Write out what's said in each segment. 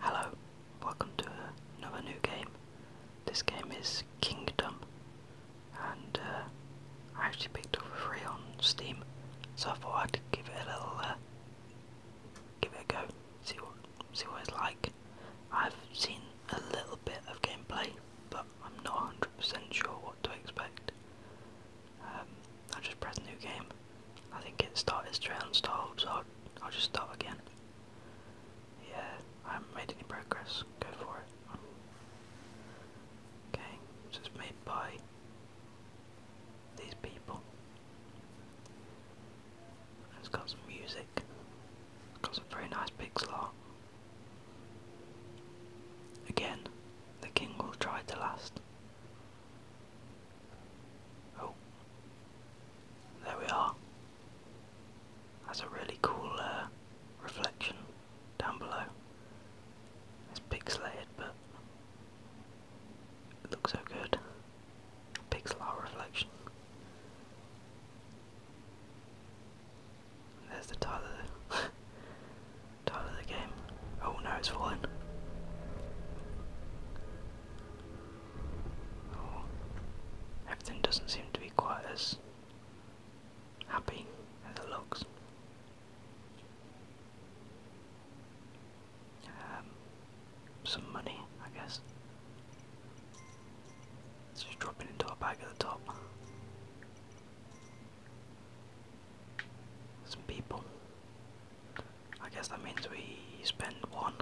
Hello, welcome to another new game. This game is Kingdom, and uh, I actually picked up for free on Steam, so I thought I'd give it a little, uh, give it a go, see what, see what it's like. I've seen a little bit of gameplay, but I'm not 100% sure what to expect. Um, I just press new game, I think it started straight on stalled, so I'll, just start again. Yeah, I haven't made any progress. Go for it. Okay, so it's made by these people. It's got some music. got some very nice pixel art. Again, the king will try to last. Oh, there we are. That's a really cool uh, reflection down below. It's pixelated, but it looks so good. Pixel art reflection. there's the title title of the game. Oh no, it's falling. Oh, everything doesn't seem to be quite as happy as it looks. Um, some money, I guess. just dropping into a bag at the top. Some people. I guess that means we spend one.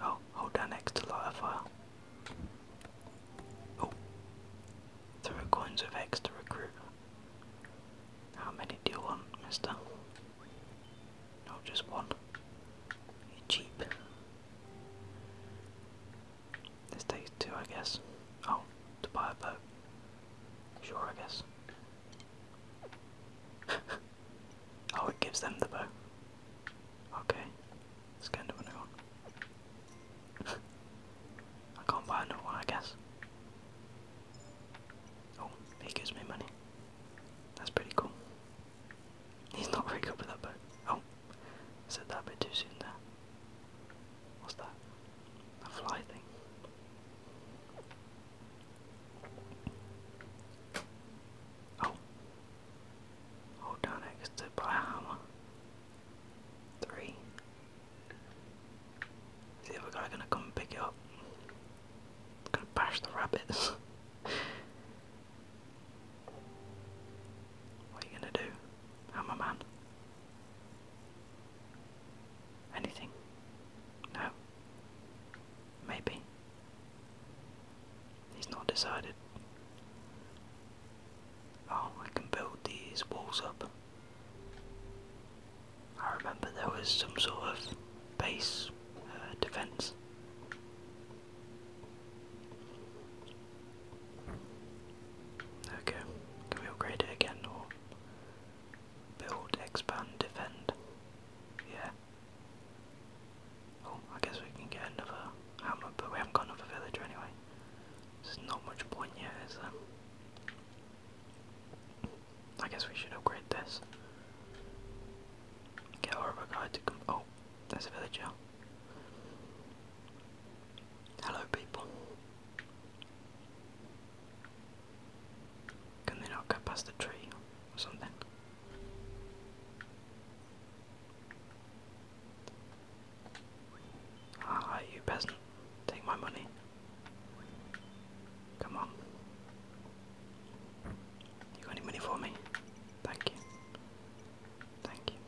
Oh, hold that X to light a fire. Oh, throw coins of X to recruit. How many do you want, mister? No, just one. You're cheap. This takes two, I guess. Oh, to buy a boat. Sure, I guess. oh, it gives them the bow. Okay, that's kind of and do another one. I can't buy another one, I guess. Oh, he gives me money. That's pretty cool. He's not very good with that bow. Oh, said that a bit too soon there. What's that? A fly thing. Oh. Hold on next to Blahammer. Three. Is the other guy gonna come and pick it up? I'm gonna bash the rabbits. what are you gonna do? I'm a man. Anything? No. Maybe. He's not decided. Oh, I can build these walls up. I remember there was some sort of base uh, defense. Okay, can we upgrade it again or build, expand, defend? Yeah. Oh, I guess we can get another hamlet, but we haven't got another villager anyway. There's not much point yet, is there? I guess we should upgrade this. Get our other to come. Oh, there's a villager. Hello, people. Can they not go past the tree or something? Ah, you peasant, take my money. Come on. You got any money for me? Thank you. Thank you.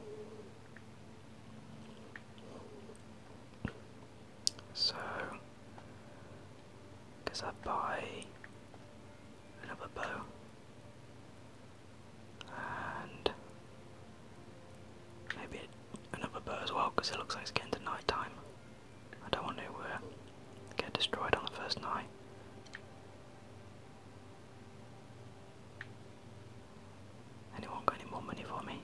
So, I buy another bow, and maybe another bow as well because it looks like it's getting to night I don't want to uh, get destroyed on the first night. Anyone got any more money for me?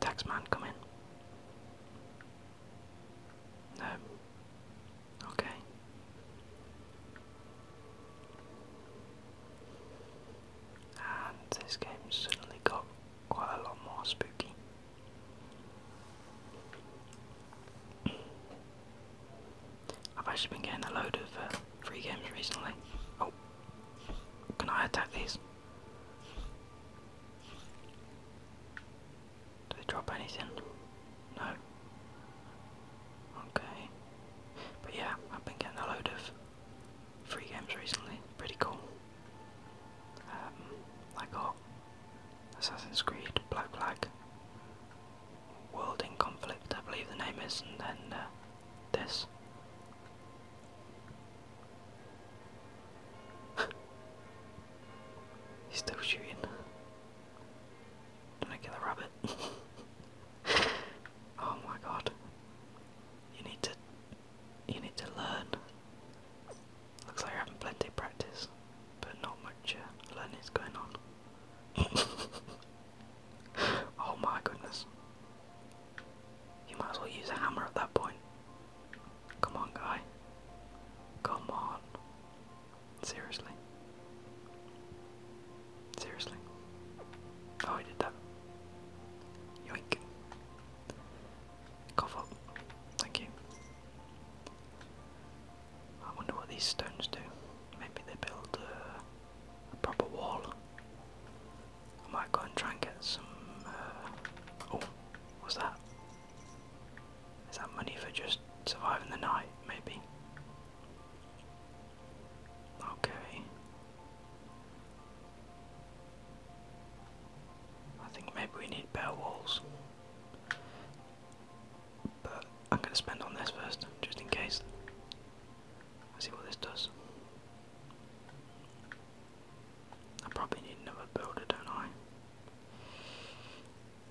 Taxman, come in. No. Okay. And this game suddenly got quite a lot more spooky. I've actually been getting a load of uh, free games recently. Oh, can I attack these? Do they drop anything? No. Okay. But yeah, I've been getting a load of free games recently. Pretty cool. Um, I got Assassin's Creed, Black Flag, World in Conflict, I believe the name is, and uh, this. He's still shooting. Did I kill the rabbit? oh my god. You need to you need to learn. Looks like you're having plenty of practice, but not much uh, learning is going on. oh my goodness. You might as well use a hammer at that point. Come on, guy. Come on. Seriously. Seriously. Oh, I did that. Yoink. Cough up. Thank you. I wonder what these stones do. Maybe they build a proper wall. I might go and try and get some. Uh, oh, what's that? Is that money for just surviving the night, maybe? Okay. I think maybe we need better walls. But I'm gonna spend on this first, just in case. Let's see what this does. I probably need never build it, don't I?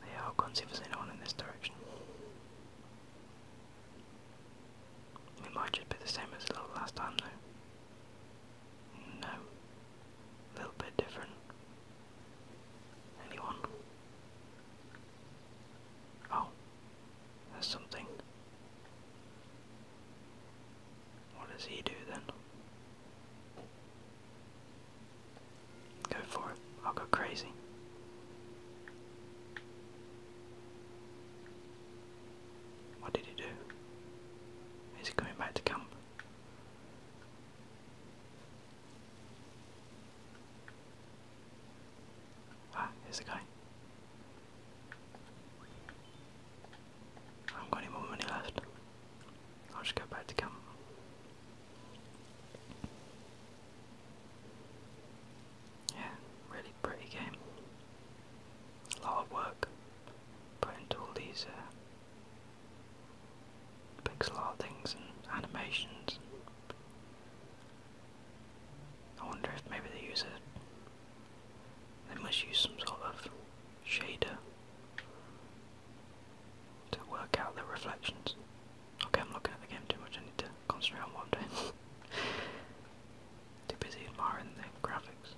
Yeah, I'll go anyone in this direction. It might just be the same as last time though. No. A little bit different. Anyone? Oh. There's something. What does he do then? Go for it. I'll go crazy. What did he do? Is he coming back to camp? Ah, here's the guy. I haven't got any more money left. I'll go back to camp. Yeah, really pretty game. A lot of work put into all these uh, pixel art things and animations. I wonder if maybe they use a. They must use some sort of shader to work out the reflections. Okay, I'm looking at the game too much. I need to concentrate on what I'm doing. too busy admiring the graphics.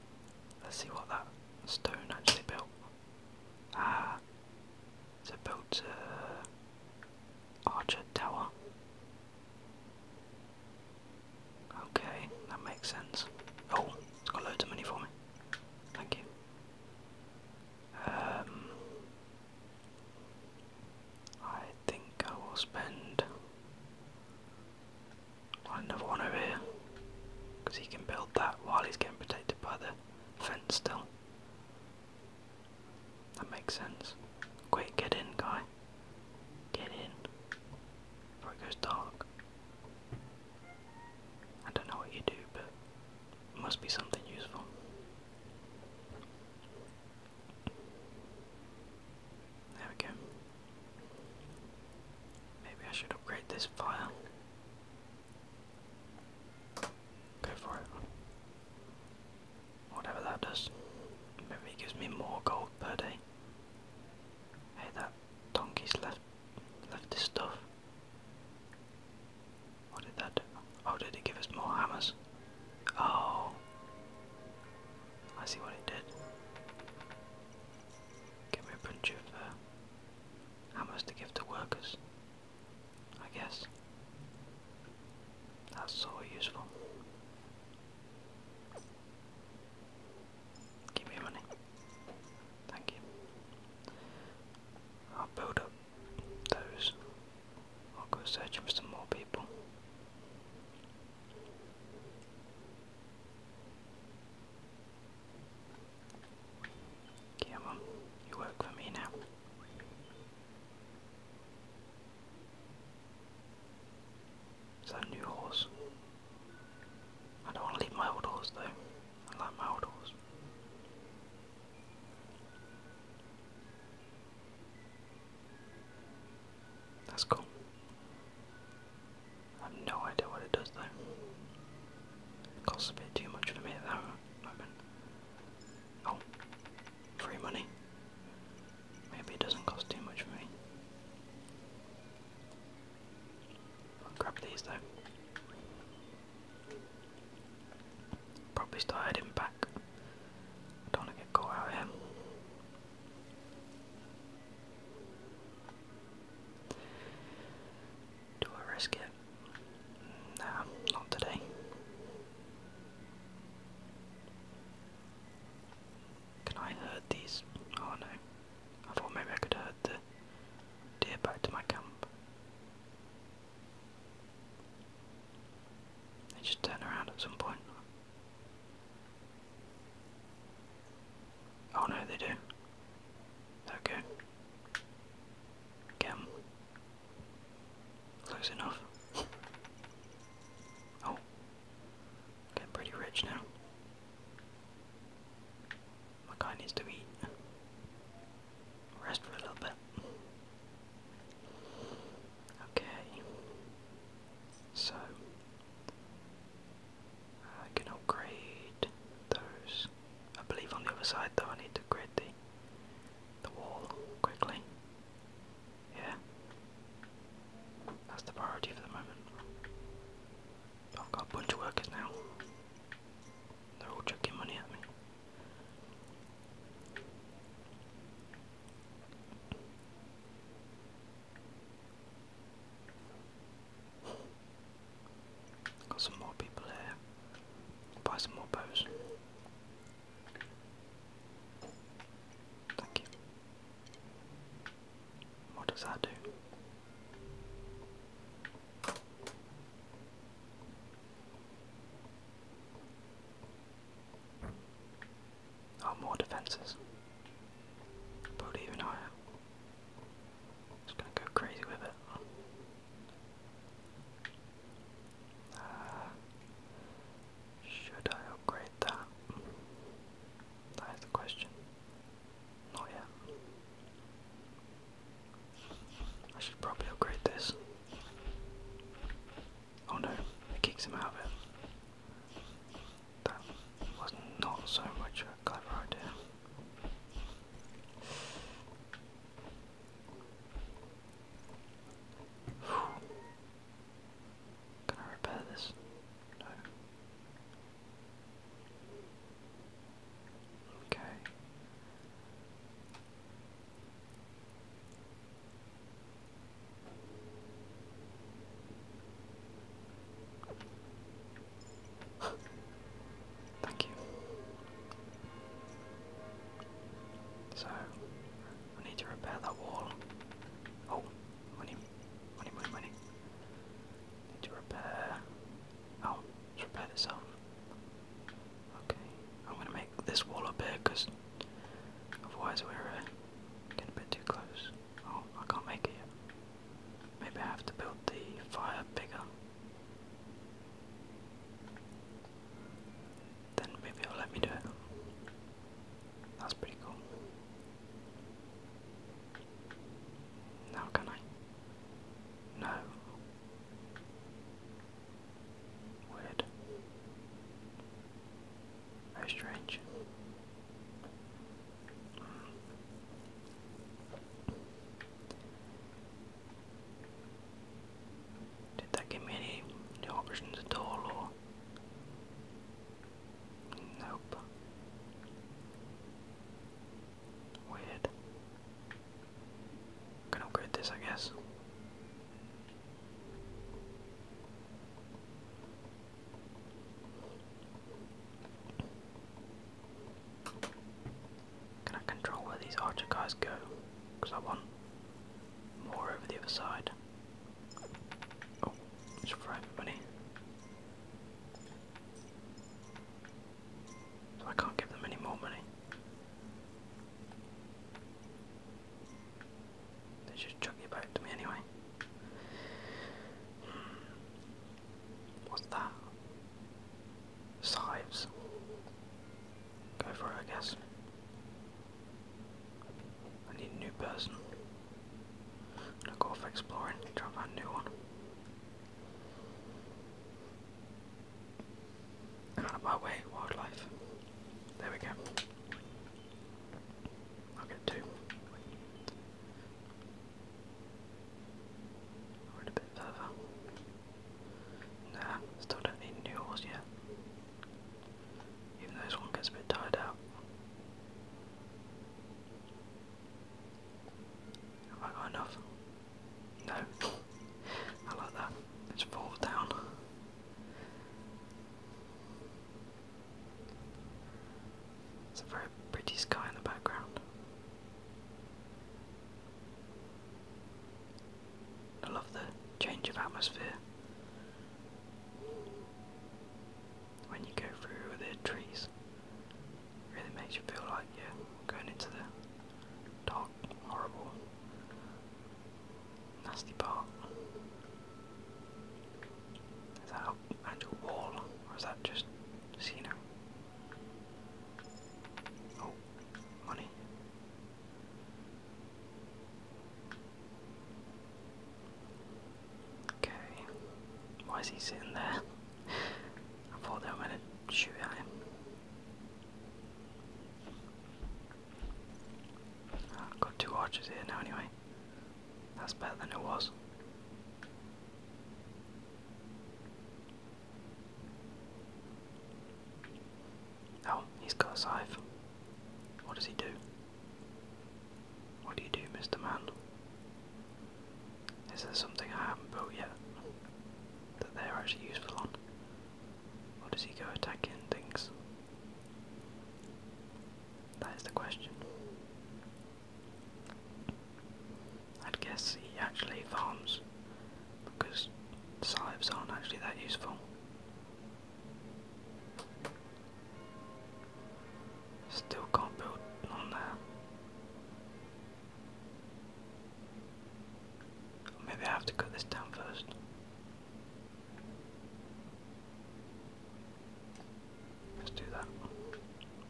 Let's see what that stone actually built. Ah, it's a archer tower. Okay, that makes sense. Oh, it's got loads of money for me. Thank you. Um, I think I will spend on another one over here because he can build that while he's getting protected by the fence still. That makes sense. Quick, get in, guy. Get in before it goes dark. I don't know what you do, but must be something useful. There we go. Maybe I should upgrade this file. Go for it. Whatever that does. Maybe it gives me more gold per day. Hey, that donkey's left left his stuff. What did that do? Oh, did it give us more hammers? Oh. I see what it did. Give me a bunch of uh, hammers to give to workers. I guess. That's so useful. Give me money. Thank you. I'll build up those. I'll go searching for some more people. Come on, you work for me now. Is that new horse? I don't want to leave my old horse though. I like my old horse. That's cool. I have no idea what it does though. costs a bit too much for me at Oh, free money. Maybe it doesn't cost too much for me. grab these though. Probably start heading back. I don't want to get caught out here. Do I risk it? Nah, not today. Can I herd these? Oh no. I thought maybe I could herd the deer back to my camp. They just turn around at some point. Oh no, they do. Okay. Get Close enough. oh. Getting pretty rich now. My guy needs to eat. Rest for a little bit. Okay. So I can upgrade those. I believe on the other side though I need to upgrade the the wall quickly. Yeah. That's the priority for the moment. I've got a bunch of workers now. They're all chucking money at me. Got some more people here. Buy some more bows. Thank you. What does that do? Oh, more defenses. Probably even higher. Just gonna go crazy with it. Uh, should I upgrade that? That is the question. Not yet. I should probably upgrade this. Oh no, it kicks him out of it. That was not so much a clever idea. Can I repair this? No. Okay. Thank you. So, I need to repair that wall. Oh, money, money, money, money. Need to repair. Oh, it's repaired itself. Okay, I'm gonna make this wall up here because otherwise we're uh, getting a bit too close. Oh, I can't make it Maybe I have to build the fire bigger. Then maybe it'll let me do it. That's pretty cool. Now can I? No. Weird. Very strange. Hmm. Did that give me any new options at all or nope. Weird. Can upgrade this I guess. Can I control where these archer guys go? Because I want more over the other side. Oh, it's for everybody. So I can't give them any more money. They should chuck you back to me anyway. What's that? Sives. Go for it, I guess. I need a new person. I'm gonna exploring, try a new one. Out of my way, wildlife. There we go. i two. Went a bit further. Nah, still don't need new oars yet. Even though this one gets a bit tired out. Have I got enough? No. I like that. It's fall down. It's a very pretty sky in the background. I love the change of atmosphere when you go through the trees. It really makes you feel like you're going into the dark, horrible Nasty part. Is that an wall, or is that just casino? Oh, money. Okay. Why is he sitting there? I thought they were going to got two archers here now anyway. That's better than it was. Oh, he's got a scythe. What does he do? What do you do, Mr. Man? Is there something I haven't built yet that they're actually useful on? Or does he go attacking things? That is the question. I'd guess he actually farms because scythes aren't actually that useful. Still can't build on that. Maybe I have to cut this down first. Let's do that.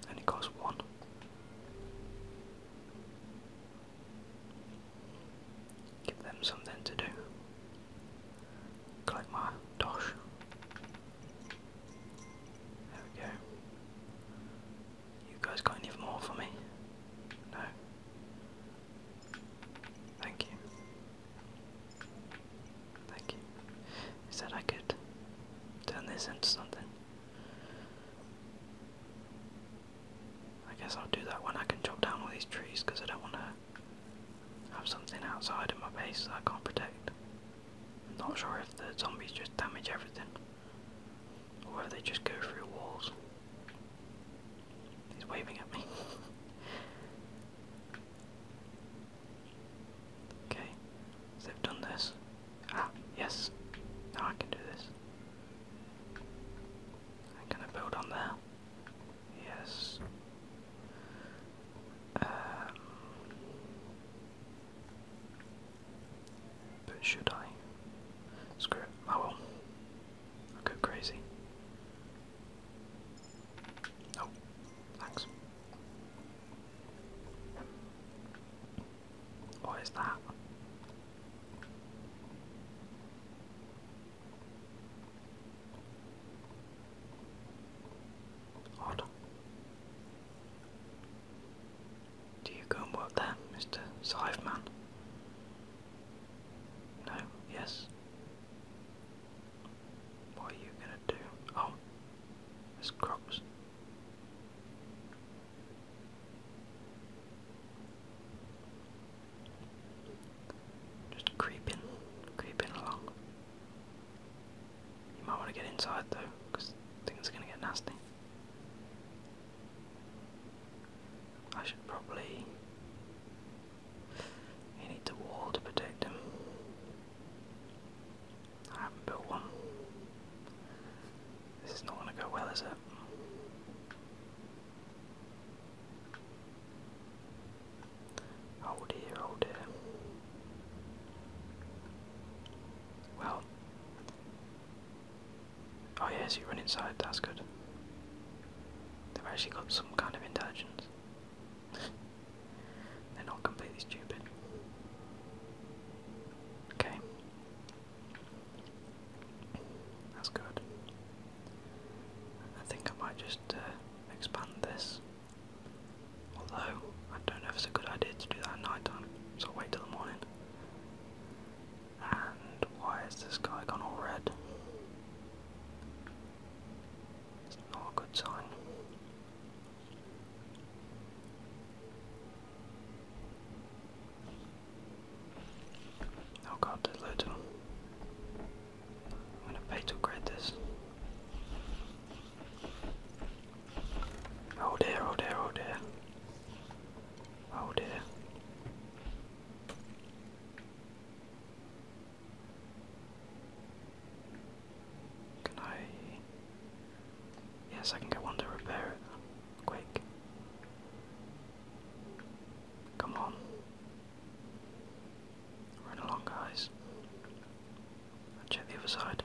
And it one. Give them something to do. Collect my dosh. There we go. You guys got any more for me? No. Thank you. Thank you. Is that I could turn this something? I guess I'll do that when I can chop down all these trees because I don't want to have something outside of my base that I can't protect. I'm not sure if the zombies just damage everything or if they just go through walls. He's waving at me. Okay, they've done this. Ah, yes. Now I can do this. I'm gonna build on there. Yes. Um, but should I? Screw it, oh, I will. I'll go crazy. Oh, thanks. What is that? Odd. Do you go and work there, Mr. Siveman? No, yes. What are you gonna do? Oh, there's crops. Just creeping, creeping along. You might want to get inside though, because things are gonna get nasty. I should probably you need the wall to protect him. I haven't built one. This is not going to go well, is it? Oh dear, oh dear. Well. Oh yes, you run inside, that's good. They've actually got some kind of intelligence. They're not completely stupid. Okay. That's good. I think I might just uh, expand this. Although, I don't know if it's a good idea to do that at so wait till the morning. And why has this guy gone all red? It's not a good sign. Oh god, there's loads I'm gonna pay to upgrade this. Oh dear, oh dear, oh dear. Oh dear. Can I? Yes, I can get one to repair it. Quick. Come on. Run along, guys. check the other side.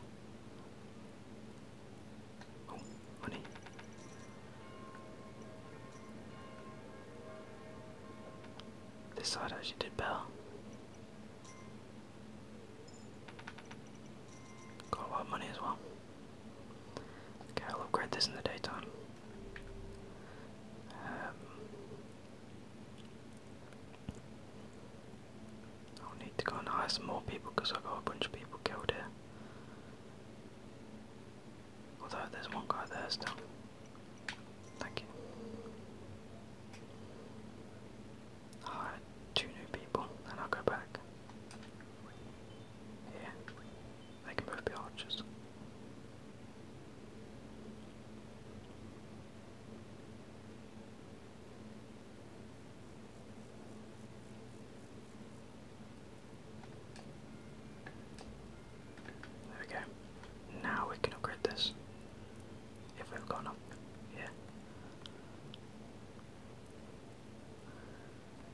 Oh, money. This side actually did better. Got a lot of money as well. Okay, I'll upgrade this in the daytime. Um, I'll need to go and hire more people because I got a bunch of people killed here. Although there's one guy there still. Thank you. Alright, two new people, then I'll go back. Yeah, they can both be archers. There we go. Now we can upgrade this. If we've gone up here.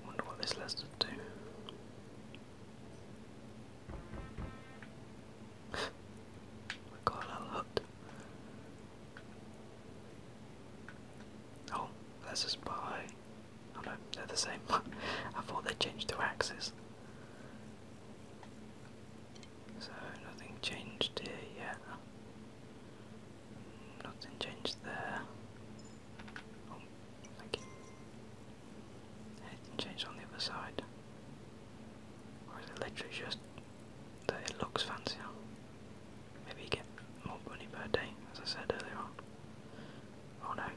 Wonder what this lets us do. we got a little Oh, let's just oh, they're the same. I thought they changed to axes. So nothing changed here yet. Nothing changed there. Oh, Anything changed on the other side? Or is it literally just that it looks fancy? Maybe get more money per as I said earlier on. Oh no,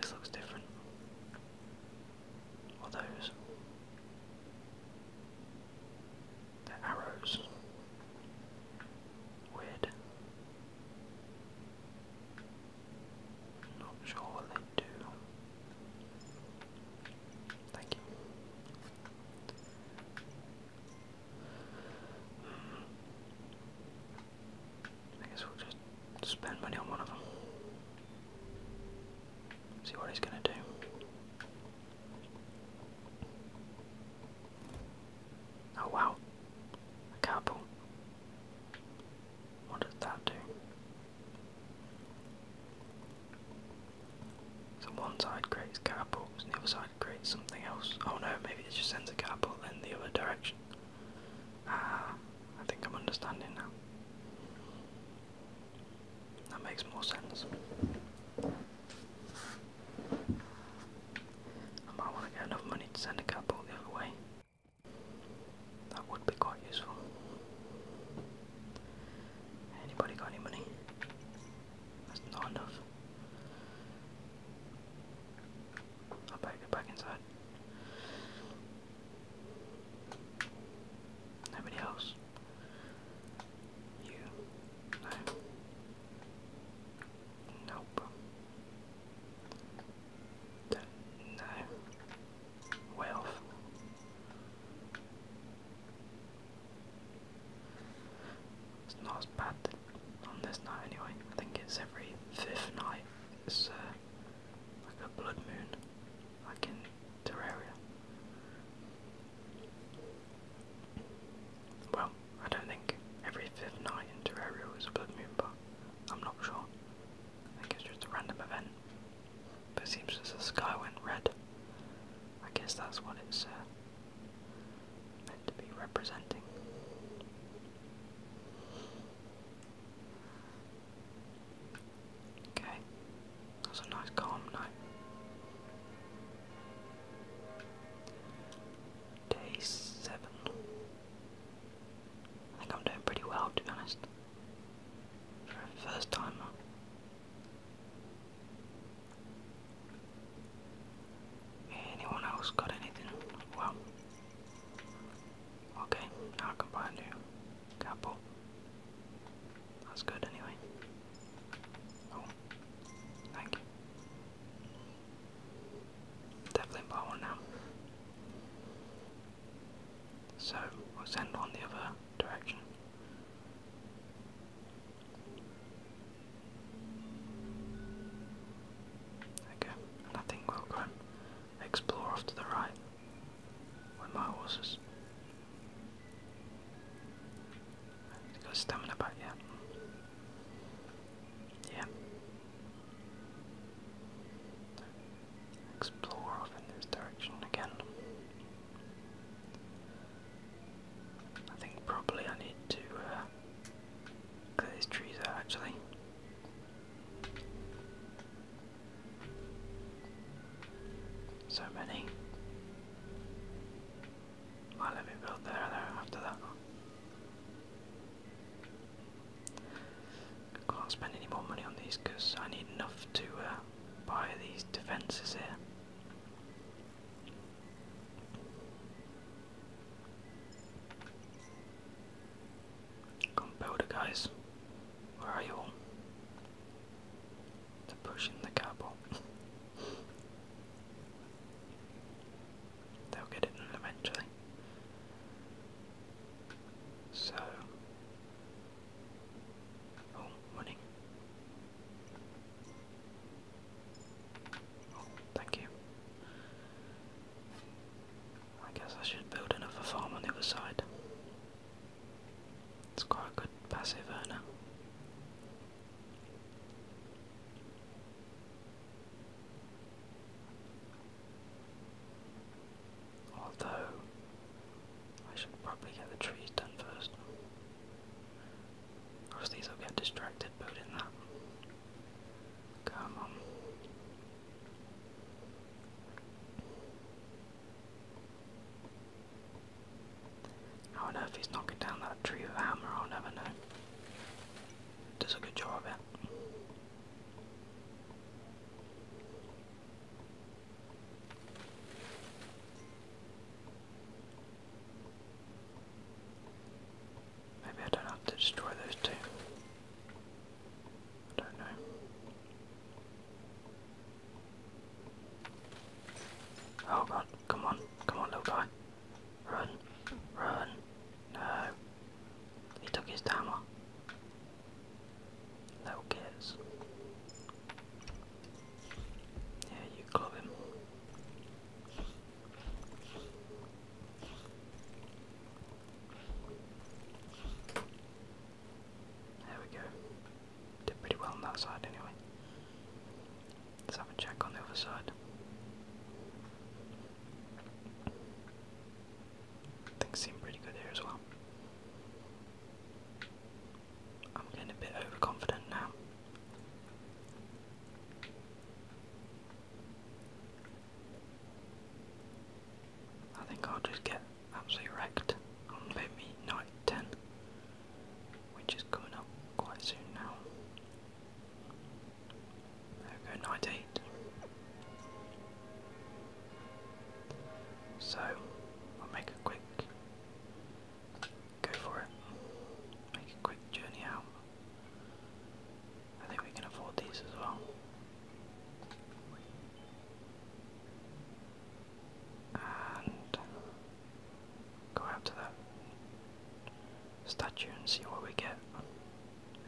this looks different are those? they arrows. Weird. Not sure what they do. Thank you. I guess we'll just spend money on one of them. See what he's going to do. Oh wow, a cardboard. What does that do? So one side creates cardboard, and the other side creates something else. Oh no, maybe it just sends a cardboard in the other direction. Ah, I think I'm understanding now. That makes more sense. I might want to get enough money to send a cat the other way. That would be quite useful. Anybody got any money? That's not enough. I better get back inside. Nobody else. You. Nope. D no. It's not as bad on this night anyway. I think it's every fifth night. It's uh, like a blood moon like in Terraria. Well, I don't think every fifth night in Terraria was a blood moon, but I'm not sure. I think it's just a random event. But seems as the sky went red. I guess that's what it's uh, meant to be representing. Okay, that's a nice calm night. Day seven. I think I'm doing pretty well, to be honest. For a first timer. Anyone else got anything? Well, okay, I can buy a couple. That's good anyway. Oh, thank you. Definitely buy one now. So we'll send on the other direction. Okay, and will go explore off to the right my horses. They got stamina back, yeah. Yeah. Explore off in this direction again. I think probably I need to uh, these trees out actually. So many. Well, let me build there, there, after that. can't spend any more money on these because I need enough to uh, buy these defences here. Come builder guys, where are you all? to push in the cobble. They'll get it eventually. So, oh, thank you. I guess I should build another farm on the other side. It's quite a good passive earner. Although, I should probably get the trees done first. Of course, these will get distracted building that. Come on. How on earth he's knocking down that tree with a hammer, I'll never know. Does a good job Maybe I don't have to destroy those two. don't know. Oh god, come on, come on little guy. Run, run, no. He took his hammer. Little kids. Yeah, you club him. There we go. Did pretty well on that side anyway. Let's have a check on the other side. Things seem pretty good here as well. I'm getting a bit overconfident now. I think I'll just get absolutely wrecked on maybe night which is coming up quite soon now. go, night 8. So, I'll make a quick go for it, make a quick journey out. I think we can afford these as well and go out to that statue and see what we get.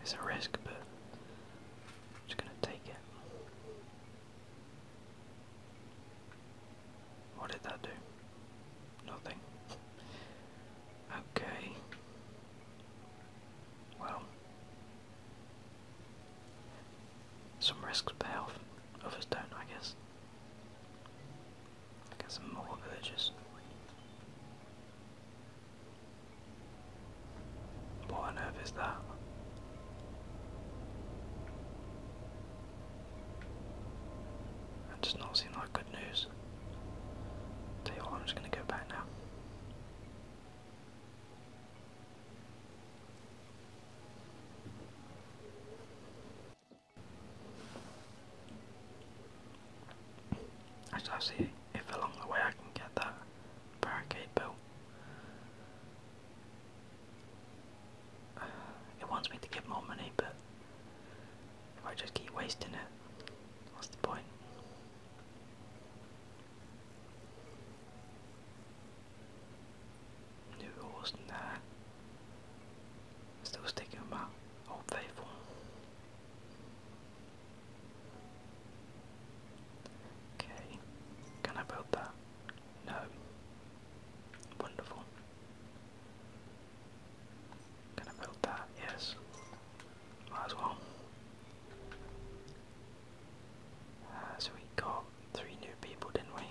It's a risk, but I'm just gonna take it. What did that do? Nothing. Okay. Well, some risks pay off, others don't, I guess some more villages. What on earth is that? That does not seem like good news. I'm just gonna go back now. I shall see if along the way I can get that barricade built. it wants me to give more money, but I just keep wasting it, what's the point? Nuåsen där. Storstigumma hoppar ifrån. Okay. Can I build that? No. Wonderful. Can I build that? Yes. Might as well. Uh, we got three new people, didn't we?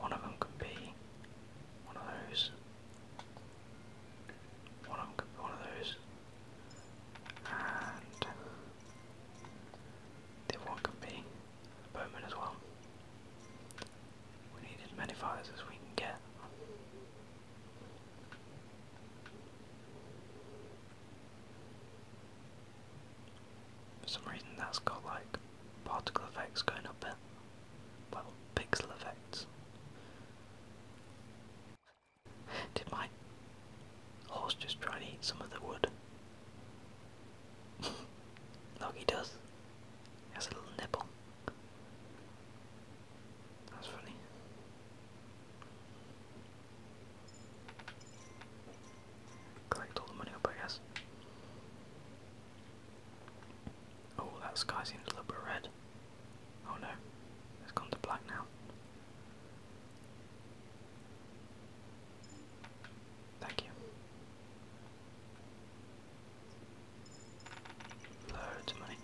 one of them could be one of those. One of them could be one of those. And the other one could be a bowman as well. We need as many fires as we can get. For some reason that's got like particle effects going up there. Well, pixel effects. Did my horse just try and eat some of the wood? Look, he does. has a little nibble. That's funny collect all the money up, I guess. Oh, that sky seems a little bit red. Oh no, it's gone to black now. Thank you. Loads of money.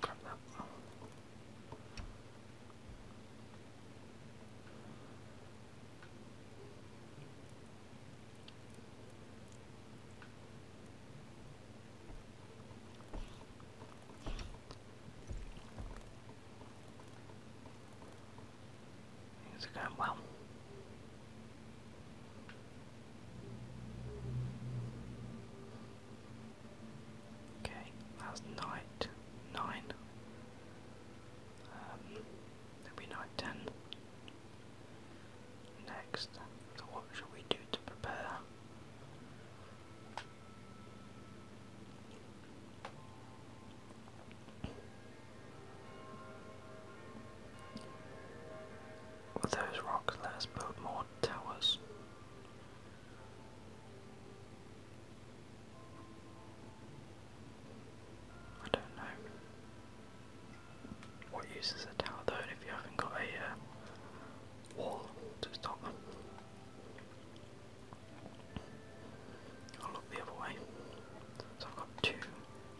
Grab that. Oh. Things are going well. Okay, that's night nine. Um, there night 10. Next, so what should we do to prepare? With those rocks, let us build more towers. I don't know. What use a tower though if you haven't got a uh, wall to stop them? I'll look the other way. So I've got two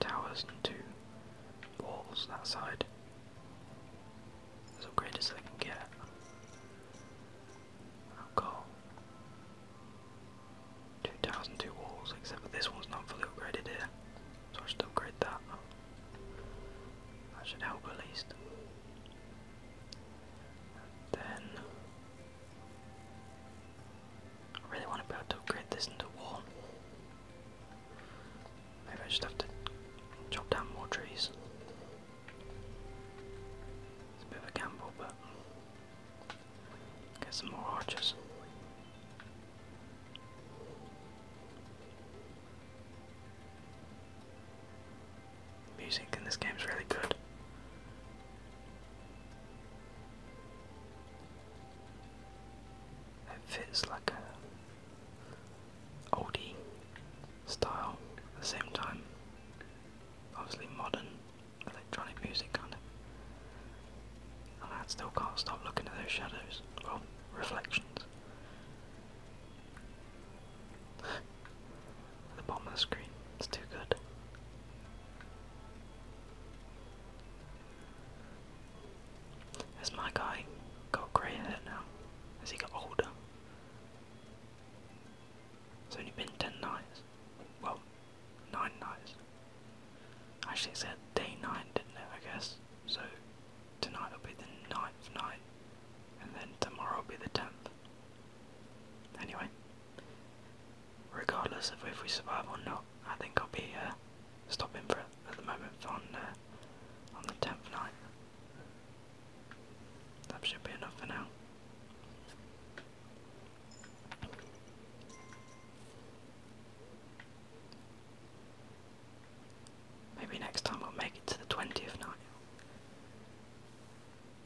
towers and two walls that side. As upgraded as I can get. I'll go 2002 walls, except for this one's not fully upgraded here, so I should upgrade that. That should help at least. then I really want to be able to upgrade this into a Maybe I just have to chop down more trees. It's a bit of a gamble, but Get some more archers. Music in this game is really good. It fits like a oldie style at the same time. Obviously modern electronic music kind of. I still can't stop looking at those shadows. Well, reflections. the bottom of the screen, it's too good. Has my guy got grey hair now? Has he got older? It's only been 10 nights. Well, nine nights. Actually, it said day nine, didn't it? I guess. So tonight will be the ninth night, and then tomorrow will be the tenth. Anyway, regardless of if we survive or not, I think I'll be uh, stopping for it at the moment on uh, on the tenth night. That should be enough for now. Maybe next time we'll make it to the 20th night.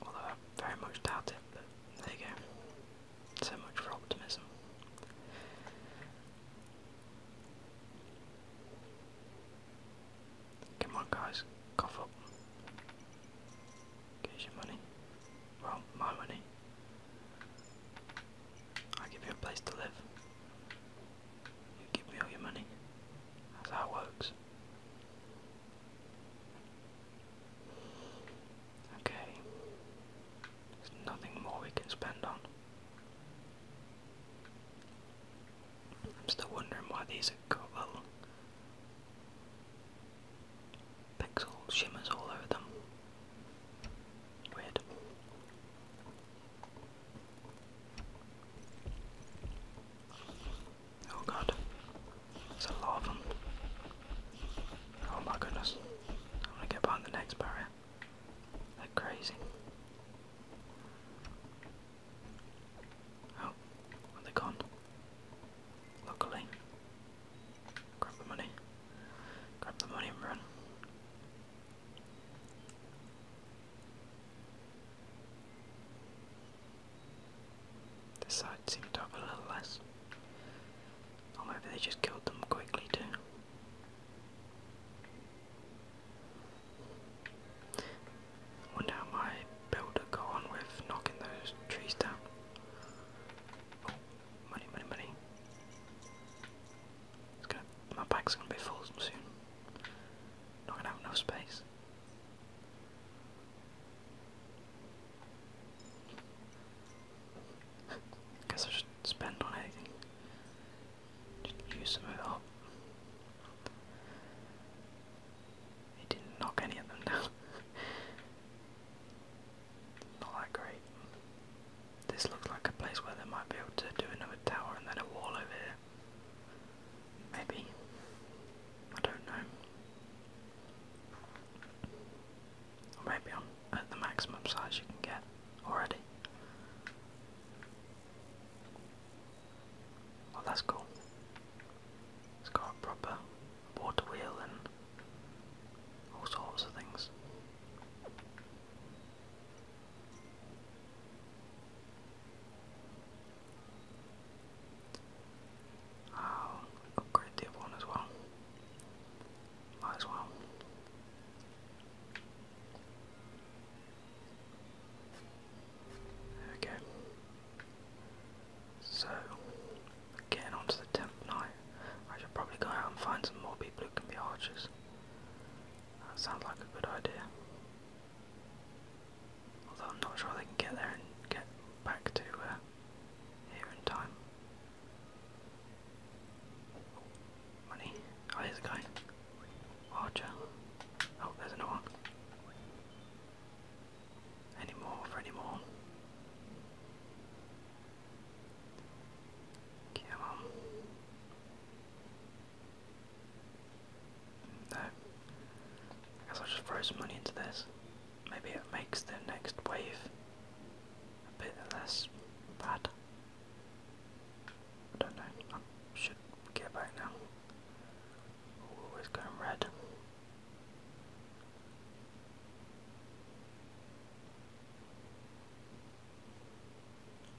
Although I very much doubt it, there you go. So much for optimism. Come on guys, cough up. Here's your money. Well, my money. I give you a place to live. You give me all your money. That's works. Okay. There's nothing more we can spend on. I'm still wondering why these are got pixel shimmers all over them. Weird. Oh god, there's a lot Oh my goodness, I'm gonna get behind the next barrier. They're crazy. Oh, are they gone? Luckily, grab the money. Grab the money and run. The side seemed to a little less. Or maybe they just killed them quickly too. Wonder how my builder got on with knocking those trees down. Oh, Money, money, money. my back's gonna be full soon. Not gonna have enough space. Guess I should spend on anything. use some of it up. He didn't knock any of them down. Not that great. This looks like a place where they might be able to do another tower and then a wall over here. Maybe. I don't know. maybe I'm at the maximum size you can get already. Well, that's cool. It's got proper water wheel and all sorts of things. I'll upgrade one as well. as well. There So Getting on the tenth night. I should probably go out and find some more people who can be archers. That sounds like a good idea. Although I'm not sure they can get there and get back to uh, here in time. Money. Oh, here's a guy. Archer. Oh, there's another one. Any more for any more? I guess I'll just throw some money into this. Maybe it makes the next wave a bit less bad. don't know. should get back now. Ooh, going red.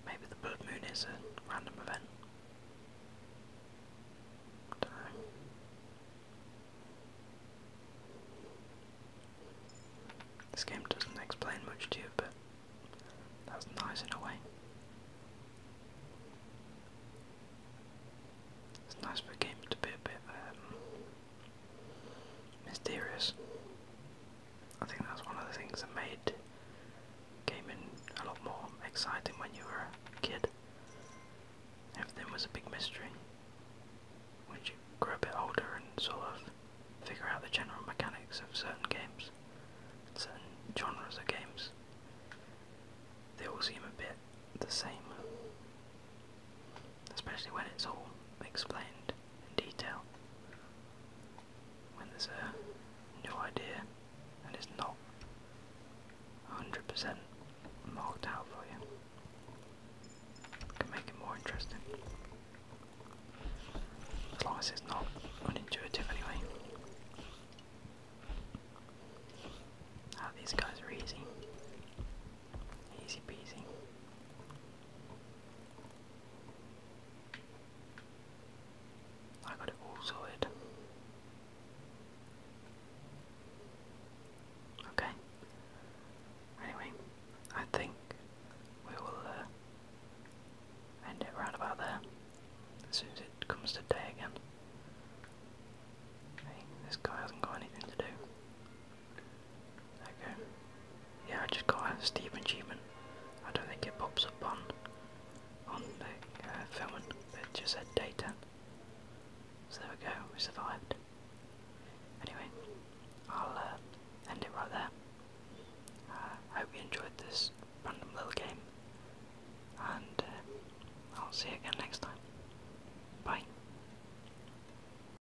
Maybe the blood moon is a random event. This game doesn't explain much to you, but that's nice in a way. It's nice for games to be a bit um, mysterious. I think that's one of the things that made gaming a lot more exciting when you were a kid. Everything was a big mystery. When you grow a bit older and sort of figure out the general mechanics of certain games, certain genres of games, they all seem a bit the same. Especially when it's all explained in detail. When there's a new idea and it's not 100% marked out for you. can make it more interesting. As long as it's not unintuitive, anyway. Ah, these guys are easy. Easy peasy. I got it all sorted. Okay. Anyway, I think we will uh, end it right about there. As soon as it comes to day again. this guy hasn't got anything to do. Okay. Yeah, I just got a Steve achievement. I don't think it pops up on on the uh, filming. It just said day 10. So there we go, we survived. Anyway, I'll uh, end it right there. Uh, I hope you enjoyed this random little game, and uh, I'll see you again next time. Bye.